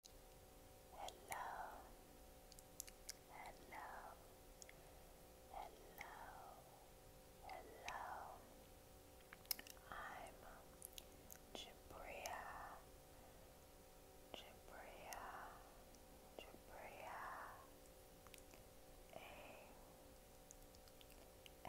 Hello, hello, hello, hello. I'm Jabria, Jabria, Jabria. A S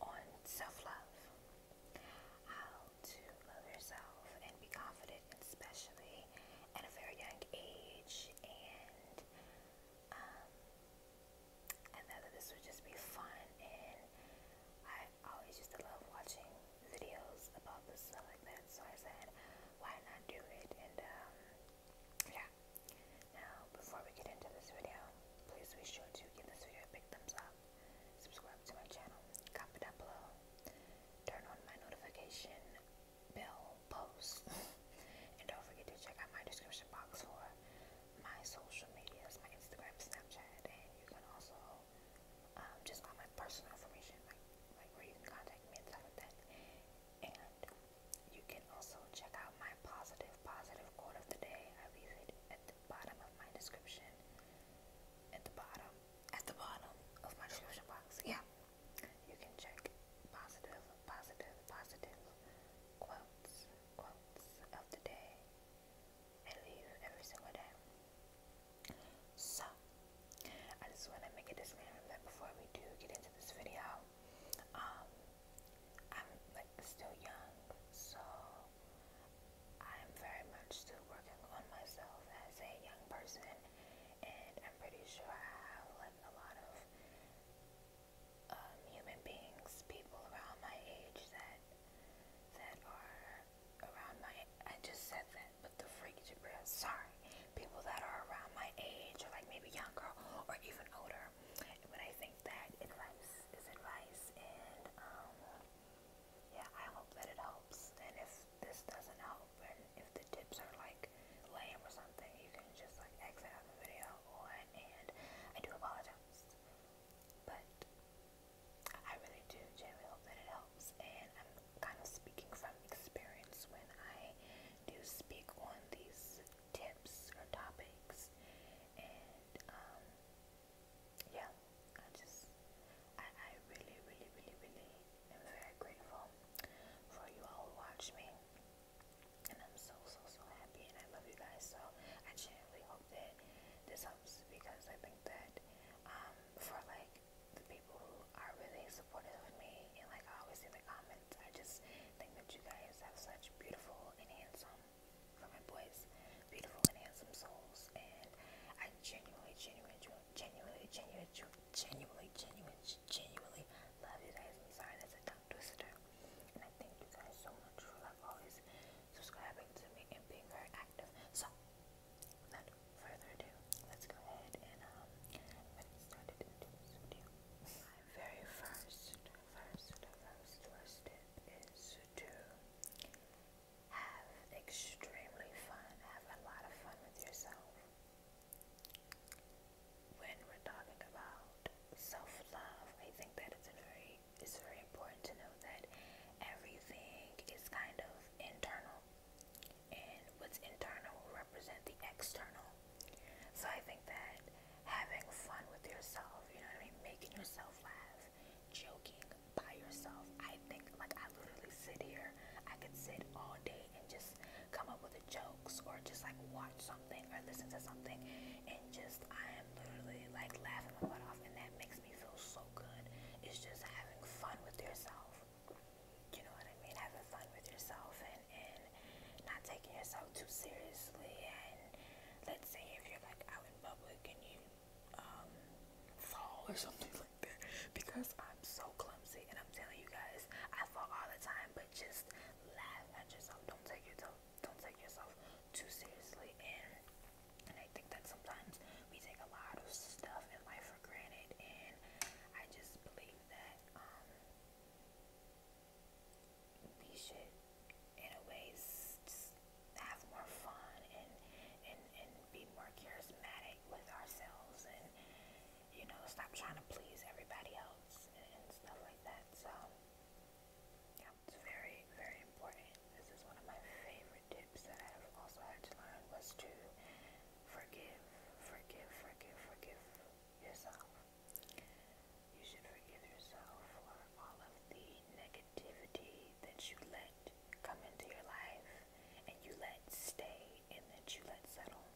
on self love, how to love yourself and be confident, especially at a very young age. And um, I thought that this would just be fun, and I always used to love watching videos about this stuff like that. So I said, why not do it? And um, yeah, now, before we get into this video, please be sure to give this video a big thumbs up, subscribe to my channel, comment down below, turn on my notification bell post, and don't forget to check out my description box for my social medias, my Instagram, Snapchat, and you can also um, just all my personal information, like, where you can contact me and stuff that. And you can also check out my positive, positive quote of the day. I leave it at the bottom of my description. At the bottom. At the bottom of my description box. Yeah. You can check positive, positive, positive quotes, quotes of the day. I leave every single day. So, I just want to make a disclaimer that before we do get into this video, um, I'm like still young, so I'm very much still working on myself as a young person, and I'm pretty sure I have like a lot of um, human beings, people around my age that that are around my. I just said that, but the freak Jabril. Sorry, people that are around my age, or like maybe younger, or even older better. But I think that advice is advice, and um, yeah, I hope that it helps. And if this doesn't help, and if the tips are like lame or something, you can just like exit out the video and I do apologize. But I really do genuinely hope that it helps, and I'm kind of speaking from experience when I do speak on these tips or topics, and um, yeah, I just I, I really, really, really, really am very grateful for you all who watch me, and I'm so, so, so happy, and I love you guys. So I genuinely hope that this helps because I think that um, for like the people who are really supportive of me, and like I always see the comments I just think that you guys have such beautiful and handsome, for my boys, beautiful and handsome souls. And I genuinely, genuinely, genuinely, genuinely, genuinely, genuinely, genuinely love you guys. I'm sorry, that's a tongue twister. And I thank you guys so much for always subscribing to me and being very active. So, without further ado, let's go ahead and um, I'm gonna My very first first, the first listed is to have extremely fun, have a lot of fun with yourself. When we're talking about self-love, I think that it's very it's very important to know that everything is kind of internal. And what's internal will represent the external. So I think that having fun with yourself, you know what I mean, making yourself laugh, joking by yourself. I think like I literally sit here, I could sit all day and just come up with jokes or just like watch something or listen to something and just I am literally like laughing my butt off and that makes me feel so good. It's just having fun with yourself. You know what I mean? Having fun with yourself and, and not taking yourself too seriously. And let's say if you're like out in public and you um, fall or something like that, because I'm so clumsy and I'm telling you guys, I fall all the time. But just laugh at yourself. Don't take yourself. Don't take yourself too seriously. And and I think that sometimes we take a lot of stuff in life for granted. And I just believe that. Um, we should, in a way, have more fun and, and, and be more charismatic with ourselves and, you know, stop trying to please everybody else and, and stuff like that. So, yeah, it's very, very important. This is one of my favorite tips that I've also had to learn was to forgive, forgive, forgive, forgive yourself. You should forgive yourself for all of the negativity that you let come into your life and you let stay and that you let settle.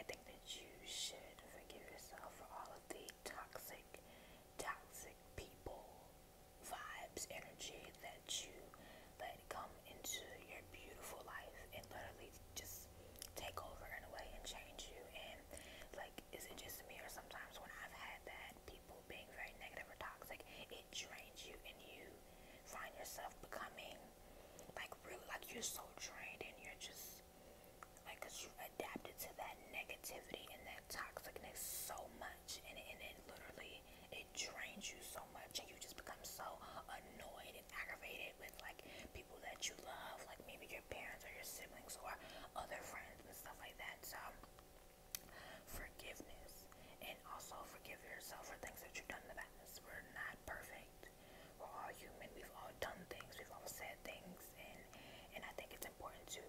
I think that you should forgive yourself for all of the toxic, toxic people, vibes, energy that you let come into your beautiful life and literally just just take over in a way and change you. And like, is it just me or sometimes when I've had that, people being very negative or toxic, it drains you and you find yourself becoming like really like you're so drained and you're just like because you adapted to that negativity and that toxicness so much and, and it literally it drains you so much and you just become so annoyed aggravated, aggravated with like people that you love, like maybe your parents or your siblings or other friends and stuff like that. So forgiveness and also forgive yourself for things that you've done in the past. We're not perfect. We're all human. We've all done things. We've all said things and and I think it's important to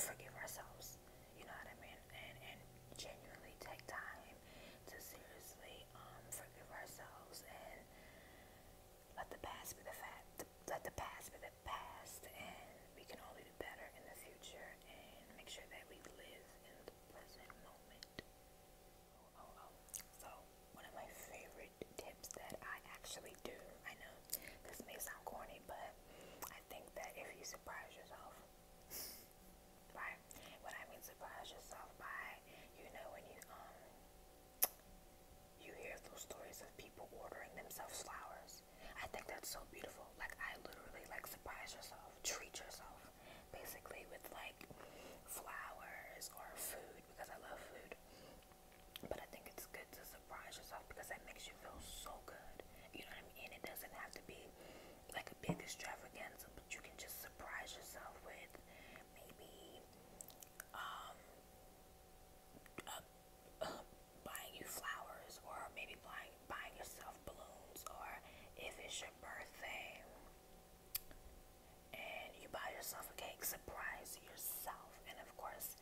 forgive ourselves. You know what I mean? And and genuinely take time to seriously um, forgive ourselves and let the past be the fact. Let the past be the past, and we can only do better in the future. And make sure that we live in the present moment. Oh, oh, oh. So one of my favorite tips that I actually do. I know this may sound corny, but I think that if you surprise yourself right? When I mean surprise yourself by, you know, when you um you hear those stories of people ordering themselves flowers. I think that's so beautiful. Like I literally like surprise yourself, treat yourself basically with like flowers or food because I love food. But I think it's good to surprise yourself because that makes you feel so good. You know what I mean? it doesn't have to be like a big extravaganza, but you can just surprise yourself with maybe um, uh, uh, buying you flowers or maybe buying, buying yourself balloons or if it's your birthday and you buy yourself a cake, surprise yourself. And of course,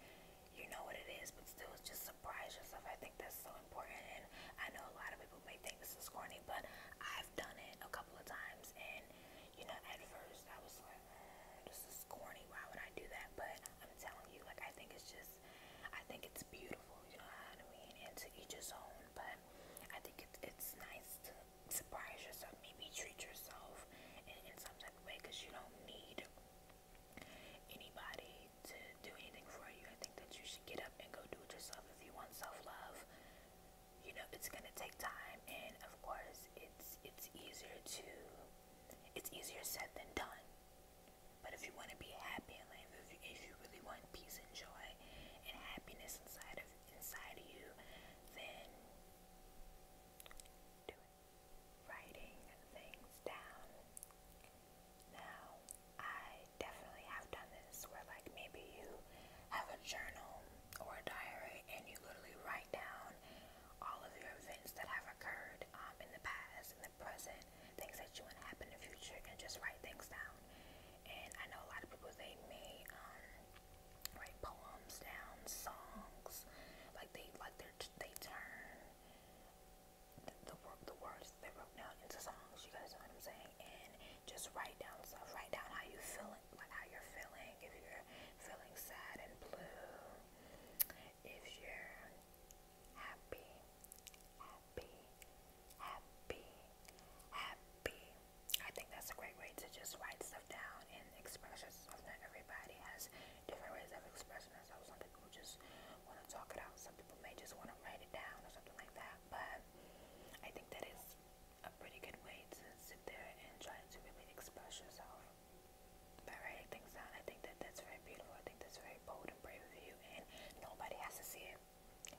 you know what it is, but still just surprise yourself. I think that's so important. And I know a lot of people may think this is corny, but I i done it a couple of times, and you know, at first I was like, mm, "This is corny. Why would I do that?" But I'm telling you, like, I think it's just, I think it's beautiful. You know what I mean? And to each his own. But I think it's it's nice to surprise yourself, maybe treat yourself in some type of way, because you don't need anybody to do anything for you. I think that you should get up and go do it yourself if you want self love you know it's gonna take time and of course it's it's easier to it's easier said than done but if you want to be happy in life if you, if you really want peace and joy and happiness inside of inside of you then writing things down now I definitely have done this where, like, maybe you have a journal or a diary and you literally write down all of your events that have occurred um, in the past, in the present, things that you want to happen in the future, and just write things down. And I know a lot of people, they may um, write poems down, songs, like they like they turn the, the, the words they wrote down into songs. You guys know what I'm saying? And just write down stuff. Write down how you feeling, like how you're feeling. If you're feeling sad and blue, if you're happy, happy, happy, happy. I think that's a great way to just write stuff down and express yourself. Not everybody has different ways of expressing themselves. Some people just want to talk it out. Some people may just want to write it down or something like that but I think that is a pretty good way to sit there and try to really express yourself writing things down. I think that that's very beautiful. I think that's very bold and brave of you, and nobody has to see it.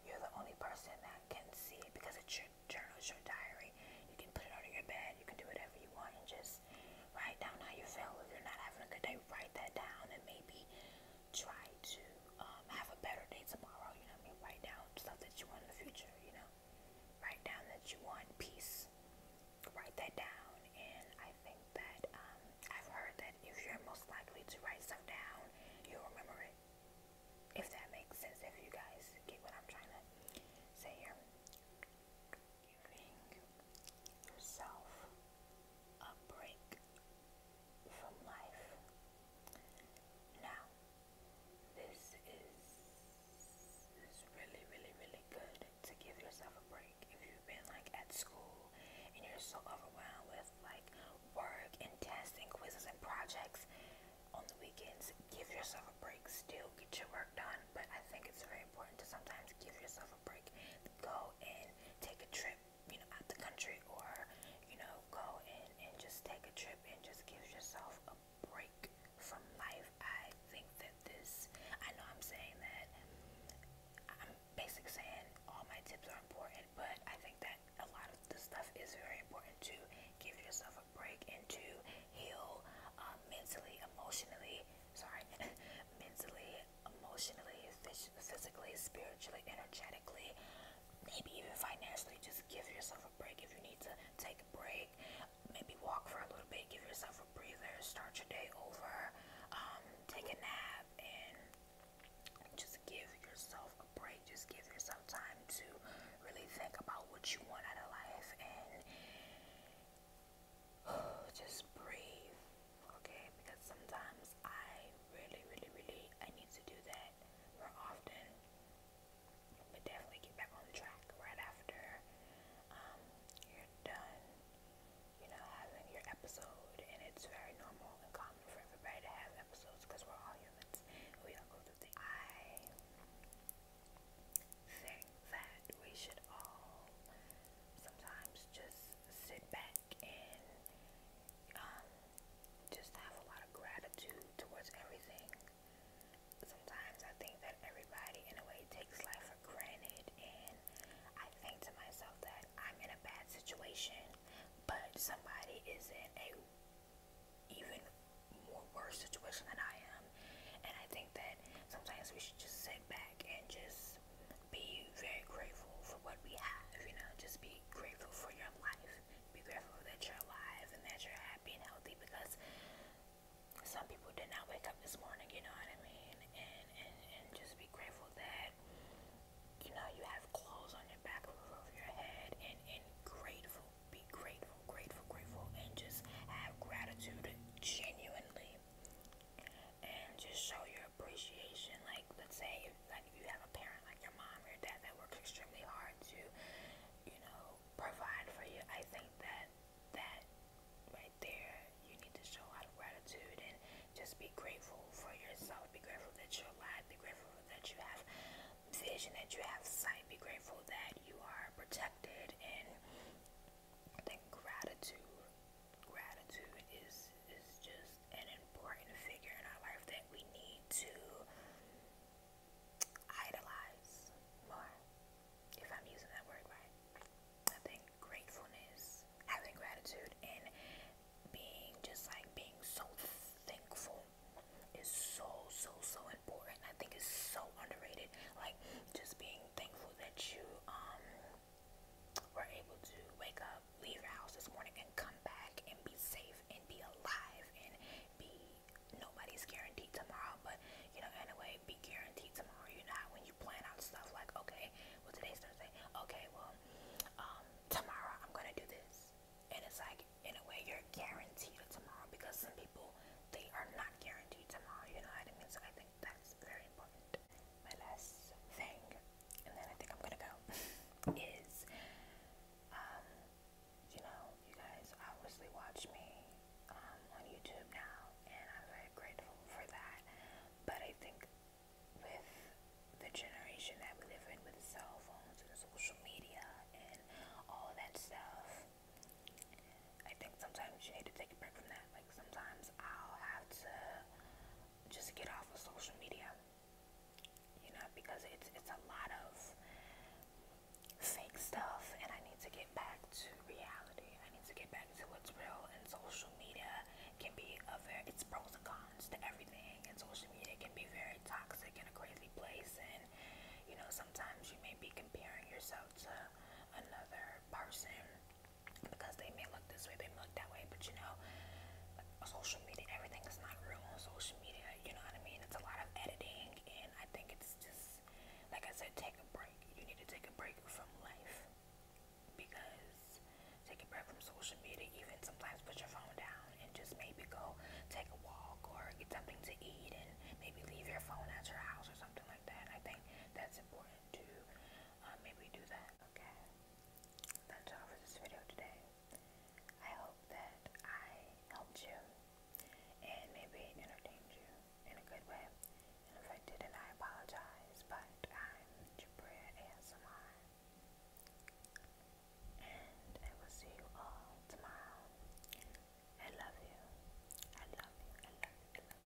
You're the only person that can see it because it's your journal, it's your diary. You can put it under your bed, you can do whatever you want, and just write down how you feel. If you're not having a good day, write that down, and maybe try to um, have a better day tomorrow. You know what I mean? Write down stuff that you want in the future. You know, write down that you want peace. Write that down, and I think that um, I've heard that if you're most likely to write stuff down, you'll remember it. If that makes sense, if you guys get what I'm trying to say here, giving yourself a break from life. Now, this is, is really, really, really good to give yourself a break. If you've been like at school and you're so overwhelmed with like work and tests and quizzes and projects on the weekends, give yourself a break. Still get your work done, but I think it's very important to sometimes give yourself a break. Go and take a trip you know out the country or you know go and and just take a trip and just give yourself a break from life. I think that this I know I'm saying that I'm basically saying all my tips are important, but I think that a lot of the stuff is very important to give yourself a break and to heal um, mentally, emotionally, sorry, mentally, emotionally, physically, spiritually, energetically maybe even financially. Just give yourself a break if you need to take a break. Maybe walk for a little bit, give yourself a breather, start your day over, um, take a nap, and just give yourself a break. Just give yourself time to really think about what you want out of life and just breathe okay? Because sometimes I really, really, really I need to do that more often, but definitely get back on track right after um, you're done, you know, having your episode. And it's very normal and common for everybody to have episodes because we're all humans. We all go through things. I think that we should all sometimes just sit back and um, just have a lot of gratitude towards everything. Sometimes I think that everybody, in a way, takes life for granted, and I think to myself that I'm in a bad situation, but somebody is in a even more worse situation than I am, and I think that sometimes we should just sit back and just just be very grateful for what we have, you know, just be grateful for your life. Be grateful that you're alive and that you're happy and healthy because some people did not wake up this morning, you know what I mean? And and, and just be grateful that you know you have clothes on your back roof over your head and, and grateful. Be grateful, grateful, grateful and just have gratitude genuinely and just show your your appreciation. Like, let's say, if, like if you have a parent like your mom or your dad that works extremely hard to, you know, provide for you. I think that that right there, you need to show out of gratitude and just be grateful for yourself. Be grateful that you're alive. Be grateful that you have vision, that you have sight. Be grateful that you are protected and. I think gratitude gratitude is is just an important figure in our life that we need to idolize more. If I'm using that word right. I think gratefulness, having gratitude and being just like being so thankful is so so so important. I think it's so underrated. Like just being thankful that you um we're able to wake up, leave your house this morning, and come back and be safe and be alive and be nobody's guaranteed tomorrow. But you know, anyway, be guaranteed tomorrow. you know not when you plan out stuff like, okay, well today's Thursday. Okay, well um, tomorrow I'm gonna do this, and it's like in a way you're guaranteed tomorrow because some people they are not guaranteed tomorrow. You know what I mean? that's very important. My last thing, and then I think I'm gonna go, is um, you know, you guys obviously watch me um, on YouTube now, and I'm very grateful for that. But I think with the generation that we live in, with cell phones and social media and all that stuff, I think sometimes you need to take a break from that. Like sometimes sometimes I'll have to just get off of social media, you know, because it's it's a lot of fake stuff, and I need to get back to reality. I need to get back to what's real, and social media can be a very it's pros and cons to everything, and social media can be very toxic and a crazy place, and you know sometimes you may be comparing yourself to another person because they may look this way, they may look that way, but you know, social media, everything is not real on social media. You know what I mean? It's a lot of editing, and I think it's just like I said, take a break. You need to take a break from life because take a break from social media. Even sometimes put your phone down and just maybe go take a walk or get something to eat, and maybe leave your phone at your house or something like that. I think that's important too. Uh, maybe do that, okay? That's all for this video today. I hope that I helped you and maybe entertained you in a good way. if I didn't, I apologize, but I'm Jabria ASMR. And I will see you all tomorrow. I love you. I love you. I love you.